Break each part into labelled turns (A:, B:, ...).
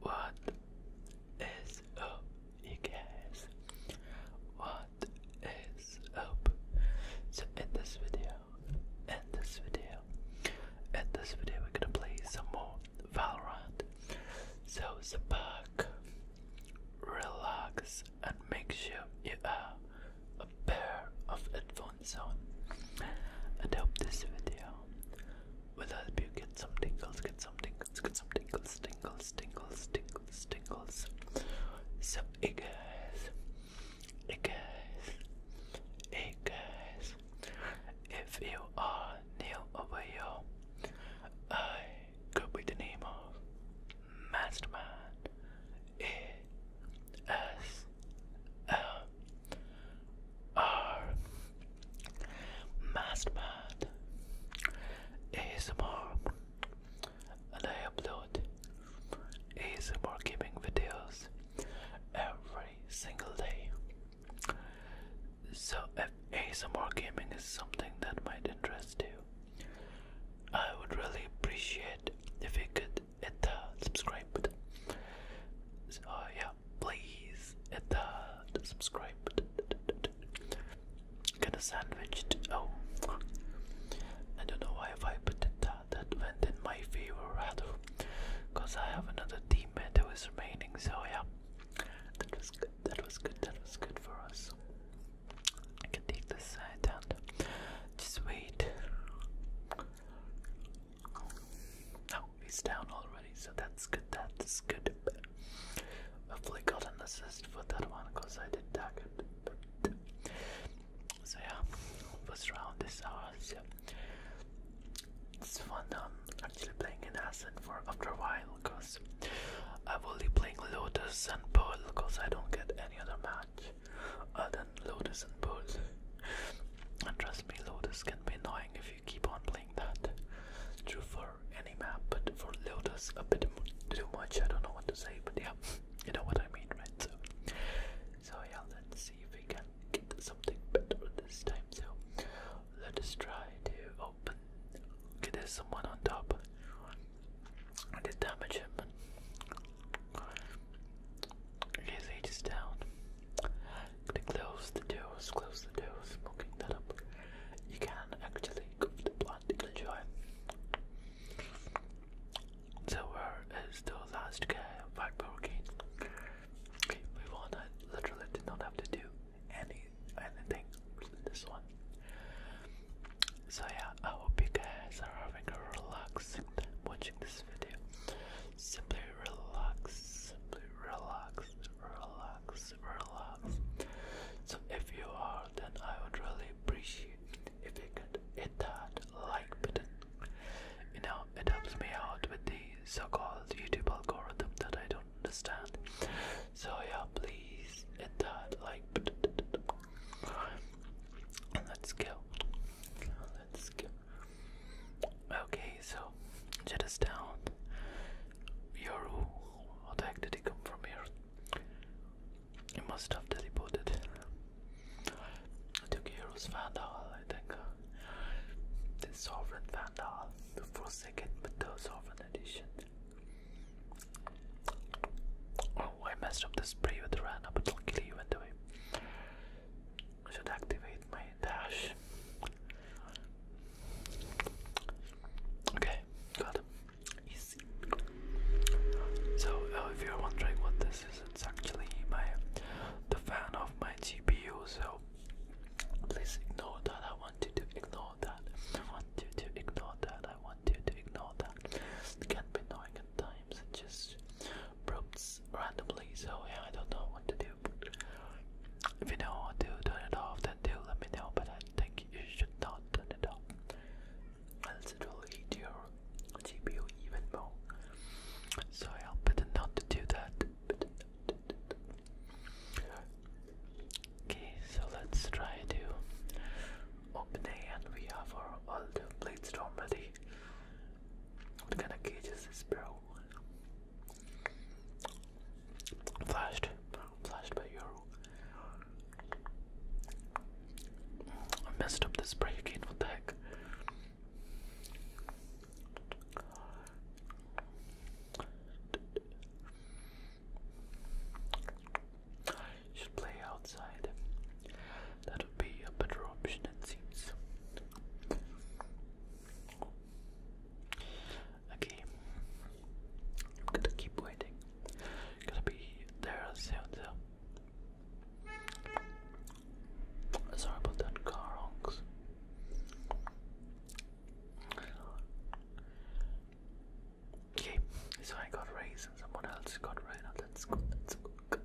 A: What is up, you guys? What is up? So in this video, in this video, in this video, we're gonna play some more Valorant. So sit relax, and make sure you are a pair of headphones on. I hope this video will help you get some tingles, get some tingles, get some tingles, tingles, tingles, tingles, tingles. So, hey guys, hey if you are new over here, I could be the name of Mastermind A S M are oh. Mastermind ASMR, and I upload ASMR gaming videos every single day. So, if ASMR gaming is something that might interest you, I would really appreciate if you could hit the subscribe button. So, yeah, please hit uh, the subscribe. Get a sandwich. Oh, I don't know why I put that uh, that went in my favor rather, cause I have another teammate who is remaining. So yeah, that was good. That was good. That was good for us. I can take this side and just wait. No, he's down already, so that's good. That's good. Hopefully, got an assist for that one because I did target. But, so yeah, first round is ours. Yeah. It's fun. I'm um, actually playing an asset for after a while because I'm only playing Lotus and Pearl because I don't get any other match other than Lotus and Pearl. And trust me, Lotus can be annoying if you keep on playing that. True for any map, but for Lotus, a bit too much. I don't know what to say, but yeah, you know what I mean, right? So, so yeah, let's see if we can get something better this time. So, let us try to open. Okay, there's someone on top. I did damage him. Okay, so he down close the doors, close the doors, smoking that up. You can actually go to the plant and enjoy. So where uh, is the last guy back broken? we won. I literally did not have to do any anything in this one. So yeah, I hope you guys are having a relaxing watching this video. Simply relax, simply relax, relax, relax. So if you are, then I would really appreciate if you could hit that like button. You know, it helps me out with the so-called YouTube algorithm that I don't understand. So yeah, please hit that like button. Let's go. Let's go. Okay, so shut us down. You're the heck did he come from here? He must have teleported. The heroes Vandal, I think. The Sovereign Vandal, the forsaken with the Sovereign Edition. Oh, I messed up the spray with Rana, but luckily you went away should activate my dash. Okay, got it. Easy. So uh, if you're wondering what this is, it's actually my the fan of my GPU. So please ignore that. I want you to ignore that. I want you to ignore that. I want you to ignore that. It can be annoying at times. just prompts randomly, so yeah, I don't know what to do. If you know how to turn it off, then do let me know, but I think you should not turn it off. Else it will eat your GPU even more. So yeah, better not to do that. Okay, so let's try to open A and we have our all the storm ready. What kind of gauge is this bro? Flashed, flashed by Euro. I messed up the spray again. What the heck? play outside. That would be a better option, it seems. Okay. I'm gonna keep waiting. Gonna be there soon though. Sorry about that car Okay, so I got raised and someone else got raised. that's good, that's good.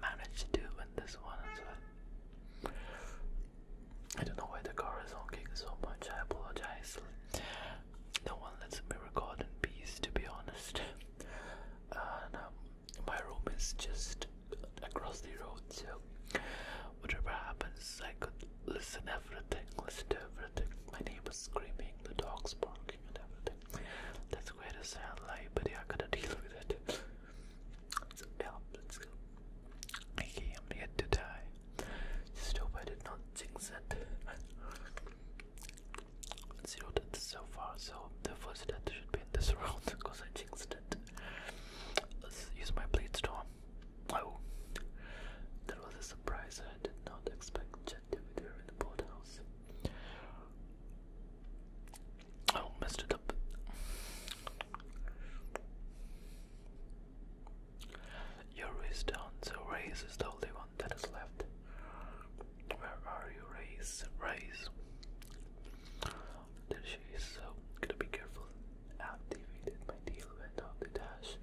A: Managed to win this one as well. I don't know why the car is honking so much. I apologize. No one lets me record in peace, to be honest. And um, my room is just across the road, so whatever happens, I could listen everything, listen everything. My neighbors screaming, the dogs barking, and everything. That's quite a sad life, but I gotta deal with it. It's let's go. I came here to die. Just hope I did not jinx it. Zero deaths so far, so the first death should be in this round because I jinxed it. Let's use my blade storm. Oh, that was a surprise. I did not expect Jet to be there in the boathouse. Oh, messed it up. Your race down, so race is the only one that is left. Where are you, race? Race. There she is, so i to be careful. Activated my deal went on dash.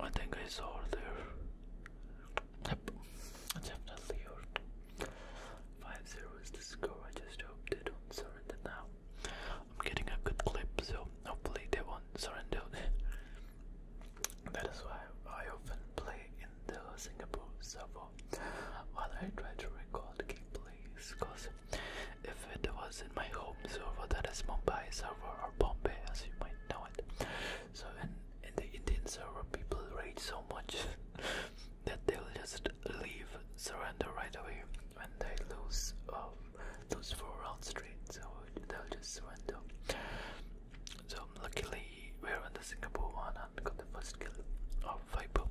A: I think I saw her there. Yep, definitely her. 5-0 is the score. I just hope they don't surrender now. I'm getting a good clip, so hopefully they won't surrender. that is why I often play in the Singapore server while I try to record gameplay, Cause if it was in my home server, that is Mumbai server or Bombay, as you might know it. So in in the Indian server, people rage so much. that they'll just leave, surrender right away when they lose um, those four rounds streets. So they'll just surrender. So luckily, we are on the Singapore one and got the first kill of Viper.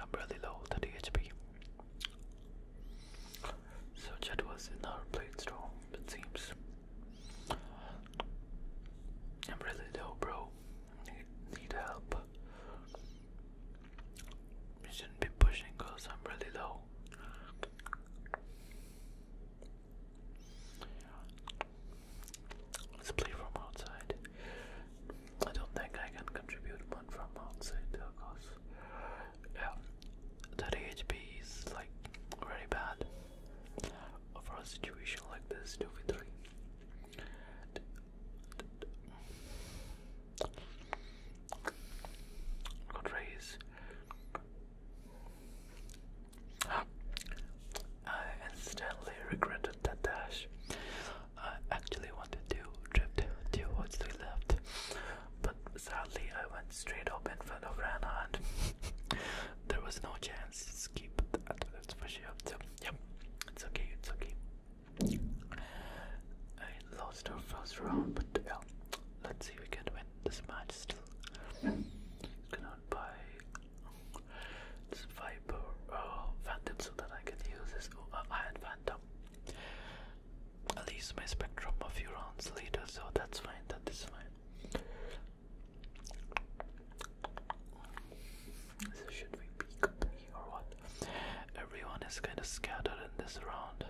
A: I'm really low, 30 HP. So Jet was in our blade storm, it seems. I'm really low, bro need, need help. We shouldn't be pushing because I'm really low. Let's play from outside. I don't think I can contribute one from outside, of Yeah, that HP is like very bad for a situation like this. Two v three. Got I instantly regretted that dash. I actually wanted to drift towards the left, but sadly I went straight up in front of Reinhardt. there was no chance to skip that, that's Yep, it's okay, it's okay. I lost our first round, but yeah, let's see if we can win this match still. Cannot buy this Viper uh, Phantom so that I can use this oh, uh, Phantom. I'll my Spectrum a few rounds later, so that's fine, that is fine. So should we be complete or what? Everyone is kind of scattered in this round.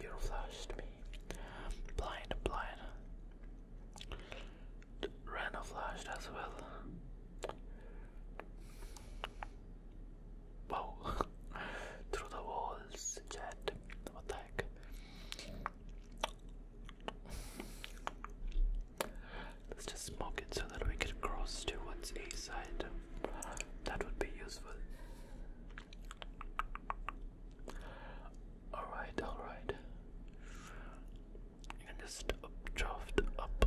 A: You flashed me. Blind, blind. Rana flashed as well. Wow. Through the walls, Jet. What the heck? Let's just smoke it so that we can cross to what's a side. That would be useful. Alright, alright. You just up up.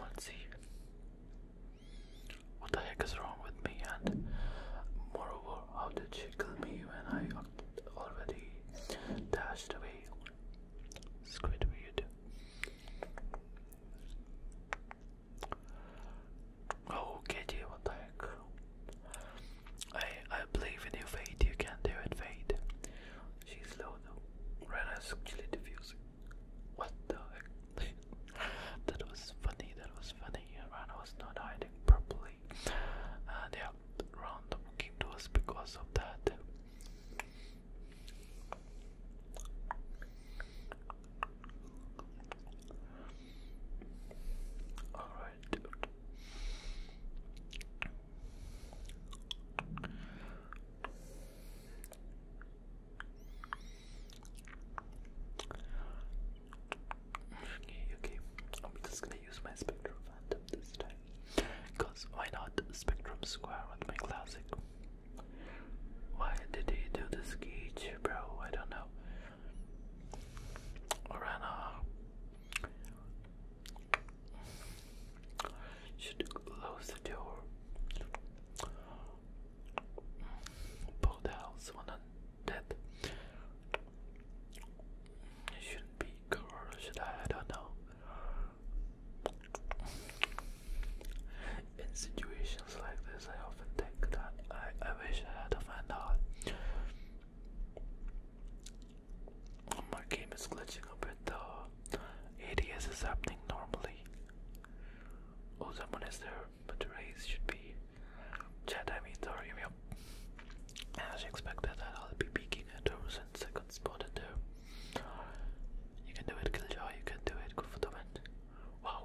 A: Let's see. What the heck is wrong with me? And moreover, how did she kill me when I already dashed away? Squidward. Oh, KJ, what the heck? I I believe in your Fate. You can do it, Fate. She's low though. Red is diffusing. What the heck? that was funny, that was funny. Iran was not hiding properly. Uh, round looking to us because of that. Alright. Okay, okay. I'm just gonna use my Spectrum Phantom this time. Because why not Spectrum Square with my classic? Why did he do the sketch, bro? I don't know. Orana should close the door. Both house one death. It shouldn't be or I? don't know. In situations like this, I often think that I, I wish I had to find out. Oh, my game is glitching a bit though. ADS is happening normally. Oh, someone is there, but the race should be Jedi Meteorium, As you expected that I'll be picking at her since I got spotted there. Uh, you can do it, Killjoy, you can do it, go for the win. Wow.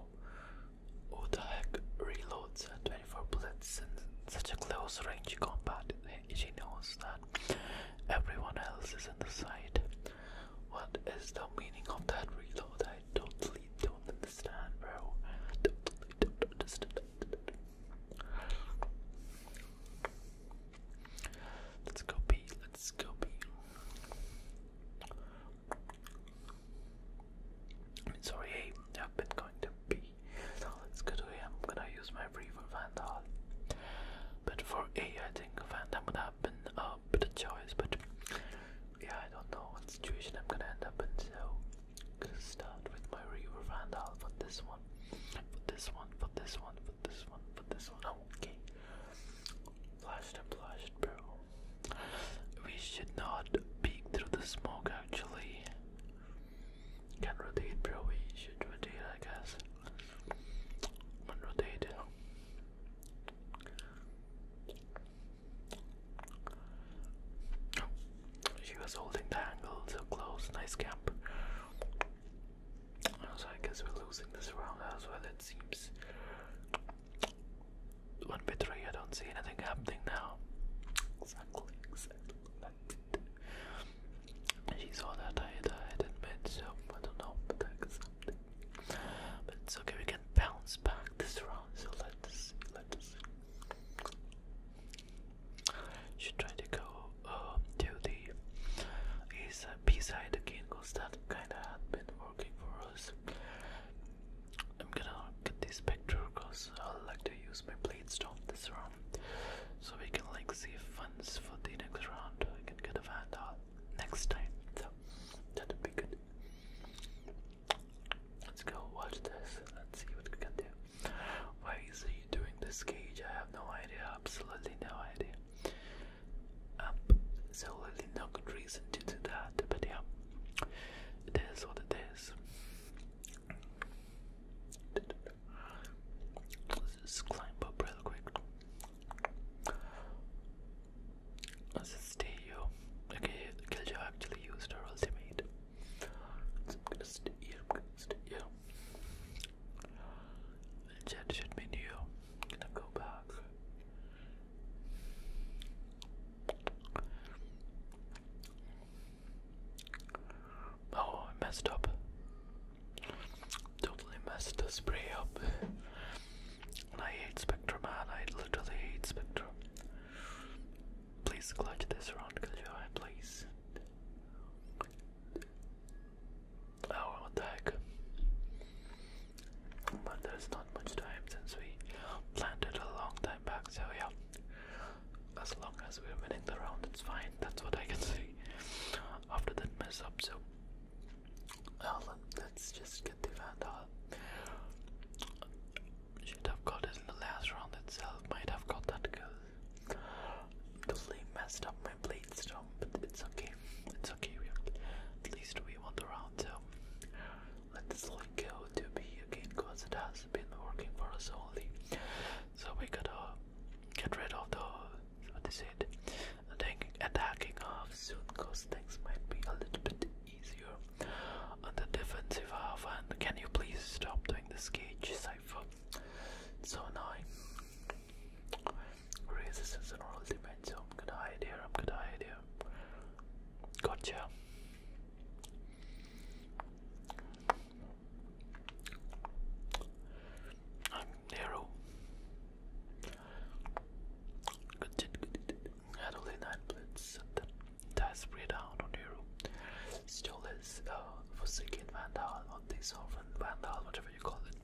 A: Who the heck reloads 24 bullets in such a close range combat? She knows that everyone else is in the side. What is the meaning of that reload? I totally don't Let's go pee. Let's go pee. am sorry, hey, have been going to pee. let's go to A. I'm gonna use my free for Vandal. But for A, I think Vandal would have uh, but a choice, but yeah, I don't know what situation I'm gonna end up in. So, start with my Reaver Vandal for this one, for this one, for this one, for this one, for this one. Oh, okay, flashed and flashed, bro. We should not peek through the smoke actually. Can rotate, bro. We should rotate, I guess. One rotate. Oh. she was holding the angle so close. Nice camp. So I guess we're losing this round as well. It seems one by I don't see anything happening now. She saw that I died in mid, so I don't know, but it's okay. We bounce back this round, so let's see, let's see. Should try to go uh, to the east uh, B side again, because that kinda had been working for us. I'm gonna get this picture because i like to use my blade stone this round so we can like save funds for the next round. We can get a vandal uh, next time, so that'd be good. Let's go watch this. Let's see what we can do. Why is he doing this cage? I have no idea. Absolutely no idea. Um, absolutely no good reason to do that. But yeah, it is what it is. Let's just climb up real quick. Stayo. Okay, Killjoy actually used her ultimate. So I'm gonna stay here, I'm gonna stay here. Jet should be new. I'm gonna go back. Oh, I messed up. Totally messed the spray up. I hate Spectre, man. I literally hate Spectre. Please clutch this round, Killjoy, please. Oh, what the heck. But there's not much time since we planted a long time back, so yeah. As long as we're winning the round, it's fine. That's what I can say after that mess up. So, well, let just get the Vandal. Should have got it in the last round itself, might have got that kill. Totally messed up my blade storm, but it's okay. It's okay, we at least we won the round, so let this link go to B again because it has been working for us only. So we gotta get rid of the what is it? Attacking, attacking off soon because things might be a little bit easier on the defensive half. And can you please stop doing this cage cipher? so annoying. Resistance and ultimate, so I'm I'm gonna Gotcha. I'm narrow. Good, good, good, good had only 9 blitz, that, that's spray down on Hero. Still is uh, Forsaken Vandal on this Sovereign Vandal, whatever you call it.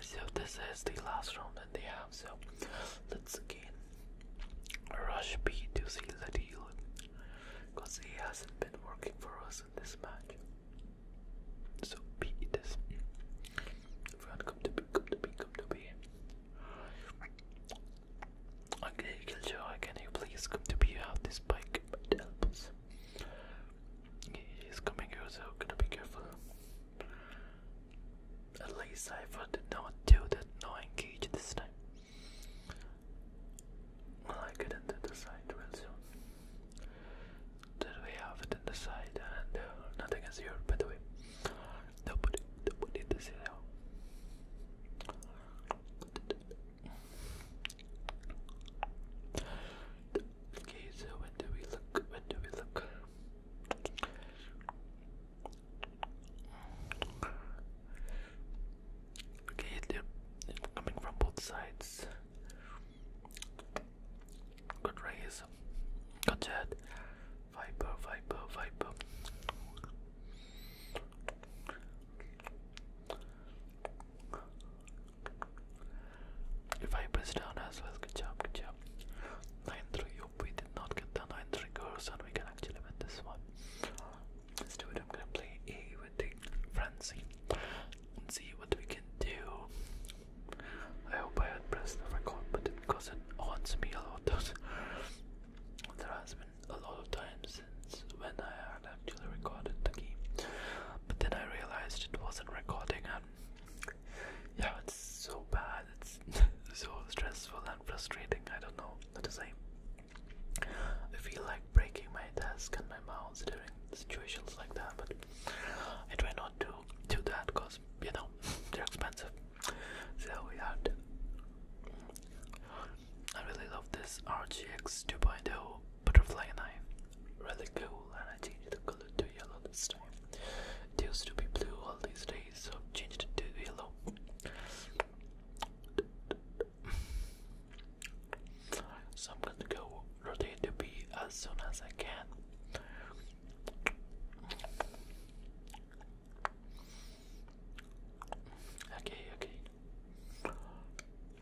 A: So, this is the last round that they have, so let's again rush B to seal the deal because he hasn't been working for us in this match. So, B it is. Everyone come to me, come to me, come to me. Okay, Killjoy, can you please come to me? You have this bike, it helps. He's coming here, gotta be careful. At least Cypher did not do that no engage this time. Well, I get into the side real soon. That we have it in the side, and uh, nothing is here, by the way. Nobody, nobody does it Okay, so when do we look? When do we look? Okay, they're coming from both sides. Good raise. Good jet. Viper, Viper, Viper. Viper is down as well. Good job, good job. 9-3. Hope we did not get the 9-3 girls and we can actually win this one. let I'm gonna play A with the Francine and see what we can do. I hope I had pressed the record button because it haunts me a lot. there has been a lot of times since when I had actually recorded the game, but then I realized it wasn't recording, and yeah, it's so bad. It's so stressful and frustrating. I don't know. Not the same. I feel like breaking my desk and my mouse during situations like that, but I try not to do that because you know they're expensive. So we had. I really love this RGX 2.0 butterfly knife. Really cool, and I changed the color to yellow this time. used to be blue all these days, so changed it to yellow. So I'm gonna go rotate the B as soon as I can. Okay, okay.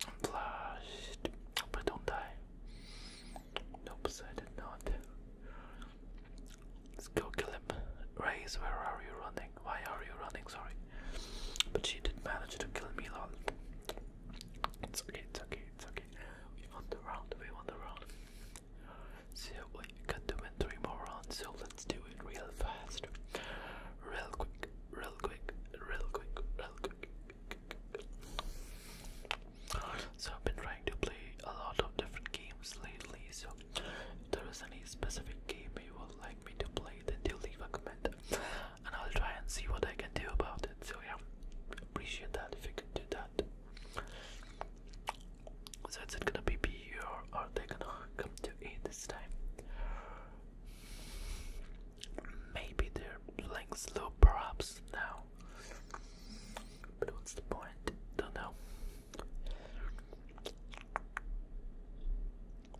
A: I'm flushed, but don't die. Nope, I did not. Let's go kill him. Raise, where are you running? Why are you running? Sorry. But she did manage to kill me, lol. It's okay, it's okay, it's okay. We won the round, we won the round. So we got to win three more rounds, so let's do it real fast. Real quick, real quick, real quick, real quick. So I've been trying to play a lot of different games lately, so there is any specific game you would like me to play, then do leave a comment and I'll try and see what I can do about it. So yeah, appreciate that if you can do that. So is it gonna be B or are they gonna come to A this time? Maybe they're playing slow perhaps now. But what's the point? Don't know.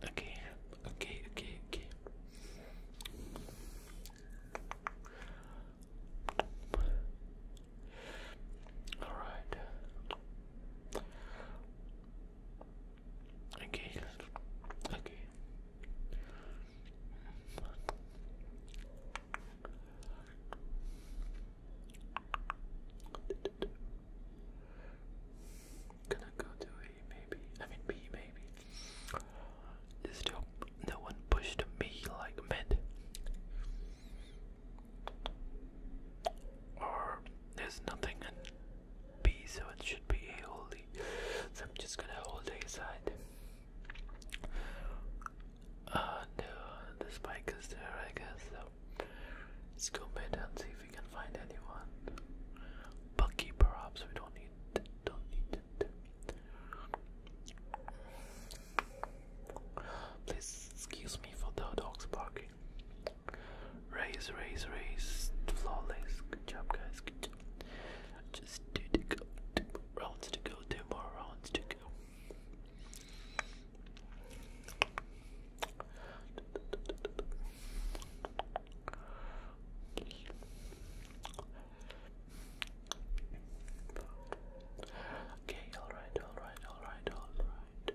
A: Okay, okay, okay, okay. All right. Okay. Okay. Gonna go to A maybe. I mean B maybe. There's still no one pushed me like mid. Or there's nothing in B, so it should be A only. So I'm just gonna hold A side. Uh, no, the spike is there, I guess. So let's go mid and see if we can find anyone. Bucky, perhaps we don't don't need Please excuse me for the dogs barking. Raise, raise, raise. Flawless. Good job, guys. Good job. Just two to go. Two rounds to go. Two more rounds to go. Okay, alright, alright, alright, alright.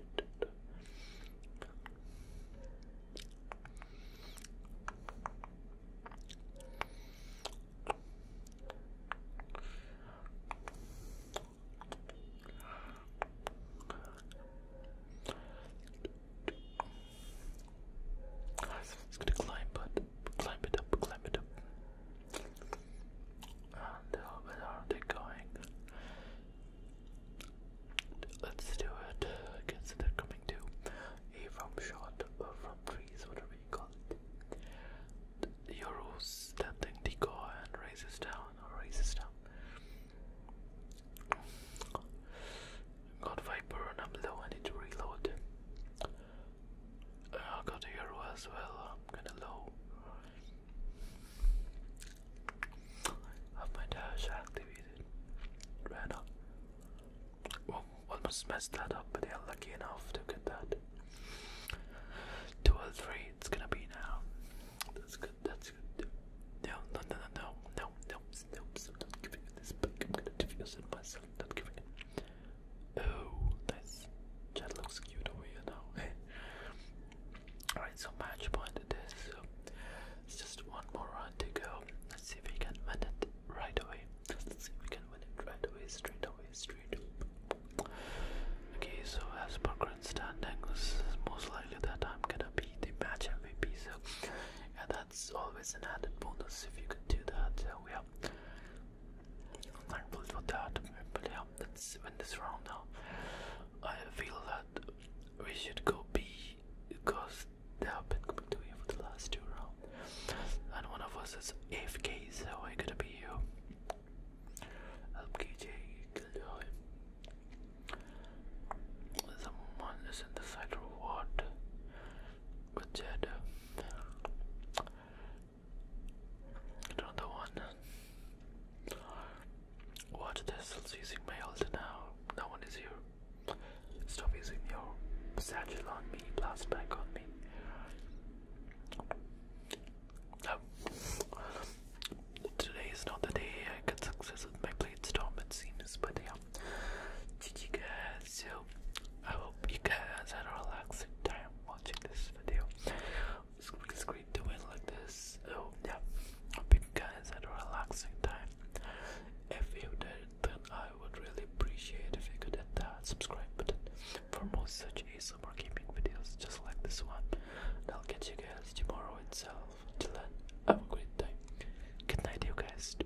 A: It's gonna climb, but climb it up, climb it up. And how uh, are they going? Let's do it. I guess coming to a from shot from trees, whatever you call it. The Euro's standing decoy and raises down or raises down. Got Viper and I'm low, I need to reload. I'll go to Euro as well. I'm kinda low. Have my dash activated. Ran up. Well, almost messed that up, but they are lucky enough to get that. Two or three, it's gonna be now. That's good, that's good. No, no, no, no, no, no, no, no, no, I'm not giving it this back. I'm gonna defuse it myself, not giving it. Oh, that's that looks cute over here now. Alright, so match point it is. just one more round to go. Let's see if we can win it right away. Let's see if we can win it right away, straight away, straight. Okay, so as per standings, most likely that I'm gonna be the match MVP. So, yeah, that's always an added bonus if you can do that. So thankful for that. But yeah, let's win this round now. I feel that we should go B because they have been coming to A for the last two rounds. And one of us is AFK, so I gotta be you. Help KJ killed him. Someone is in the side or what? With Another one. What? they using my altar now. No one is here. Stop using your satchel on me, blast back on me. Oh. Today is not the day I get success with my blade storm, it seems, but yeah. GG so I hope you guys had a relaxing time watching this video. It's great doing like this. Oh yeah. Hope you guys had a relaxing time. If you did, then I would really appreciate if you could hit that subscribe button for more such ASMR gaming videos just like this one. I'll catch you guys tomorrow itself. Till then, have a great time. Good night, you guys.